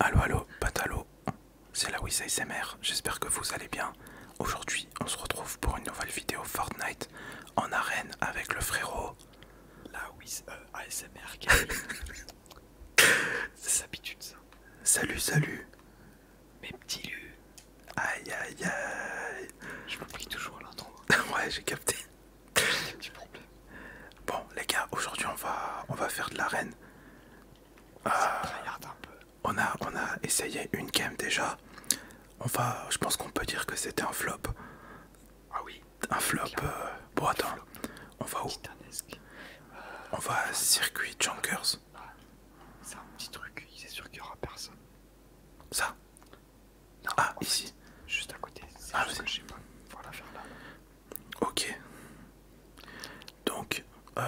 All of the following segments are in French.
Allo allo, Patalo, c'est la Wiz ASMR, j'espère que vous allez bien. Aujourd'hui, on se retrouve pour une nouvelle vidéo Fortnite en arène avec le frérot. La Wiz euh, ASMR ASMR, c'est habitude ça. Salut, salut. Mes petits lus. Aïe aïe aïe. Je prie toujours l'entendre. ouais, j'ai capté. Bon les gars, aujourd'hui on va on va faire de l'arène. Ah, euh, on a on a essayé une game déjà. On va, je pense qu'on peut dire que c'était un flop. Ah oui. Un flop. Euh, bon attends, on va où On va euh, circuit ah, Junkers. C'est un petit truc, c'est sûr qu'il y aura personne. Ça Ah ici. juste à côté. Ah, Ok. Donc, euh,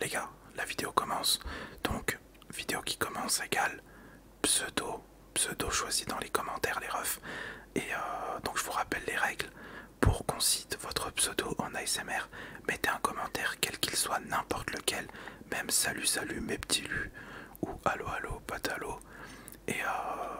les gars, la vidéo commence. Donc, vidéo qui commence égale pseudo, pseudo choisi dans les commentaires, les refs. Et euh, donc, je vous rappelle les règles. Pour qu'on cite votre pseudo en ASMR, mettez un commentaire, quel qu'il soit, n'importe lequel, même salut, salut, mes petits lus, ou allo, allo, patalo. Et euh,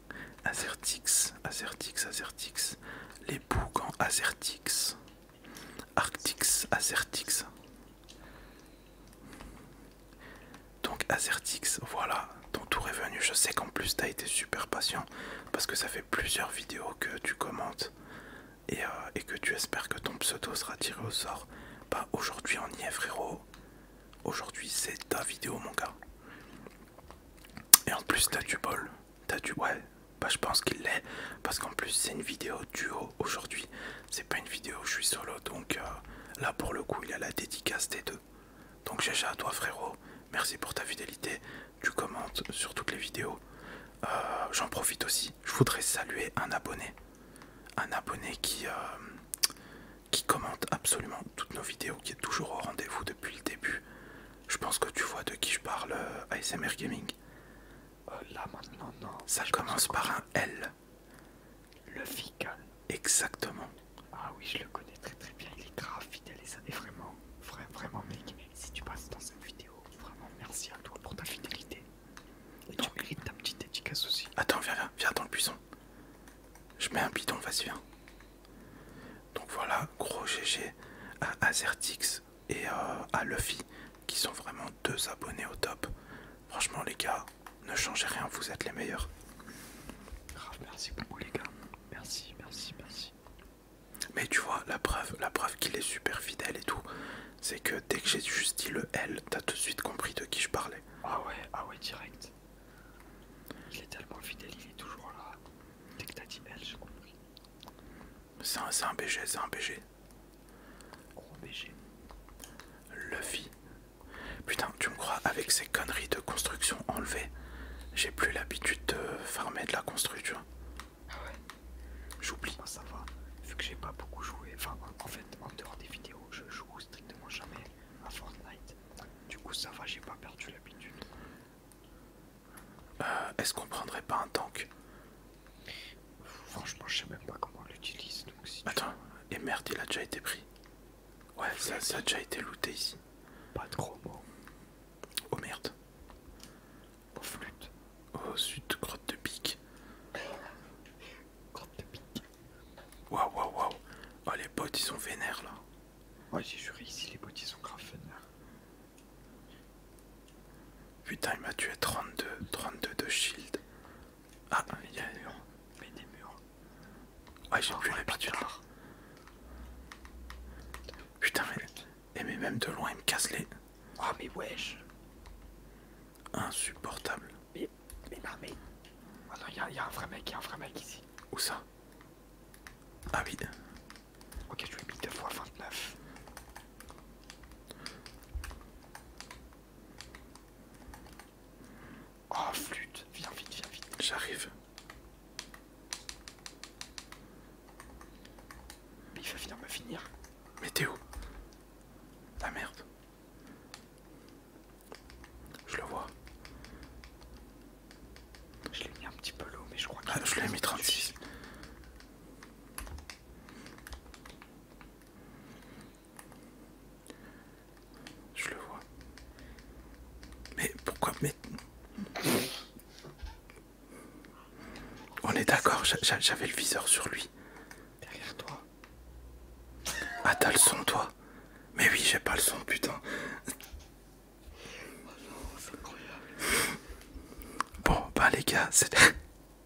Azertix, Azertix, Azertix, les boucs en Azertix, Arctix, Azertix. Donc Azertix, voilà, ton tour est venu. Je sais qu'en plus t'as été super patient parce que ça fait plusieurs vidéos que tu commentes et, euh, et que tu espères que ton pseudo sera tiré au sort. Bah aujourd'hui on y est frérot. Aujourd'hui c'est ta vidéo mon gars. Et en plus, t'as du bol. T'as du. Ouais, bah je pense qu'il l'est. Parce qu'en plus, c'est une vidéo duo aujourd'hui. C'est pas une vidéo où je suis solo. Donc euh, là, pour le coup, il a la dédicace des deux. Donc, j'achète à toi, frérot. Merci pour ta fidélité. Tu commentes sur toutes les vidéos. Euh, j'en profite aussi. Je voudrais saluer un abonné. Un abonné qui. Euh, qui commente absolument toutes nos vidéos, qui est toujours au rendez-vous depuis le début. Je pense que tu vois de qui je parle euh, ASMR Gaming. Euh, là maintenant, non. Ça commence par un L. Le Fical. Exactement. Ah oui, je le connais très très bien. Il est grave fidèle et ça est vraiment, vraiment, mec. Si tu passes dans cette vidéo, vraiment merci à toi pour ta fidélité. Et tu ta petite dédicace aussi. Attends, viens, viens, viens dans le buisson. Je mets un bidon, vas-y, viens. Donc voilà, gros GG à Azertix et euh, à Luffy qui sont vraiment deux abonnés au top. Franchement les gars, ne changez rien, vous êtes les meilleurs. Merci beaucoup les gars, merci, merci, merci. Mais tu vois, la preuve, la preuve qu'il est super fidèle et tout, c'est que dès que j'ai juste dit le L, t'as tout de suite compris de qui je parlais. Ah ouais, ah ouais, direct. Il est tellement fidèle, il est toujours là. Dès que t'as dit C'est un, BG, c'est un BG. Gros BG. Luffy. Putain, tu me crois, avec ces conneries de construction enlevées, j'ai plus l'habitude de farmer de la construction. Ah ouais J'oublie. Ah, ça va, vu que j'ai pas beaucoup joué, enfin en fait en dehors des vidéos, je joue strictement jamais à Fortnite. Du coup, ça va, j'ai pas perdu l'habitude. Euh, est-ce qu'on prendrait pas un tank Franchement, je sais même pas comment on l'utilise. Attends, et merde, il a déjà été pris. Ouais, ça, a déjà été looté ici. Pas trop bon. Oh merde. Oh flûte. Oh sud, grotte de pique. grotte de pique. Waouh, waouh, waouh. Oh, les potes, ils sont vénères là. Ouais, j'ai juré, ici les bots ils sont grave vénères. Putain, il m'a tué 32, 32 de shield. Ah, mais il y a des murs. Mais des murs. Ouais, j'ai plus l'habitude. Putain, mais. mais même de loin, il me casse les. Oh, mais wesh. Insupportable. Mais, mais non, mais. attends ah y'a un vrai mec, y'a un vrai mec ici. Où ça Ah oui. Ok, je lui ai mis 2 fois 29. Oh flûte, viens vite, viens vite. J'arrive. Mais il va venir me finir. Mais t'es où La merde. Je le vois. Je l'ai mis un petit peu l'eau, mais je crois que. Ah, je l'ai mis 36. Je le vois. Mais pourquoi mettre On est d'accord, j'avais le viseur sur lui. Derrière toi. Ah t'as le son toi Mais oui j'ai pas le son putain Bon bah les gars cette...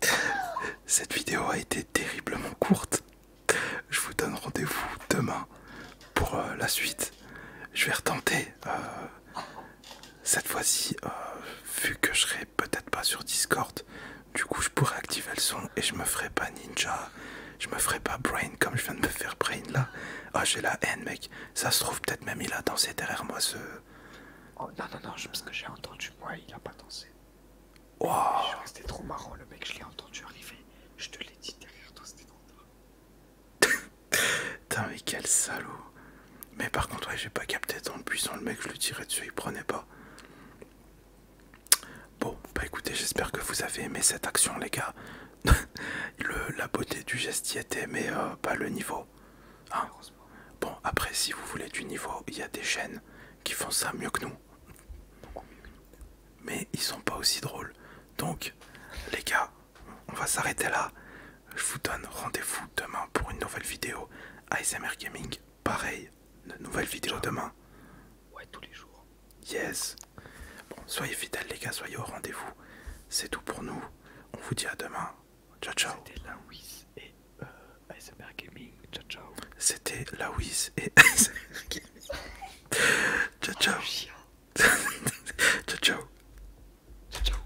cette vidéo a été terriblement courte Je vous donne rendez-vous demain pour euh, la suite Je vais retenter euh, cette fois-ci euh, vu que je serai peut-être pas sur Discord du coup, je pourrais activer le son et je me ferai pas ninja. Je me ferai pas brain comme je viens de me faire brain là. Ah, j'ai la haine, mec. Ça se trouve, peut-être même il a dansé derrière moi ce. Oh non, non, non, je, parce que j'ai entendu moi, il a pas dansé. C'était trop marrant, le mec, je l'ai entendu arriver. Je te l'ai dit derrière toi, c'était trop Putain, mais quel salaud. Mais par contre, ouais, j'ai pas capté dans le buisson, le mec, je le tirais dessus, il prenait pas Bon, bah écoutez, j'espère que vous avez aimé cette action, les gars. la beauté du geste y était, mais euh, pas le niveau. Hein. bon, après, si vous voulez du niveau, il y a des chaînes qui font ça mieux que nous. Mais ils sont pas aussi drôles. Donc, les gars, on va s'arrêter là. Je vous donne rendez-vous demain pour une nouvelle vidéo ASMR Gaming. Pareil, une nouvelle vidéo demain. Ouais, tous les jours. Yes. Bon, soyez fidèles les gars, soyez au rendez-vous. C'est tout pour nous. On vous dit à demain. Ciao ciao. C'était Wiz et euh, Gaming. Ciao ciao. C'était Wiz et Iceberg Gaming. ciao ciao. ciao ciao. Ciao ciao.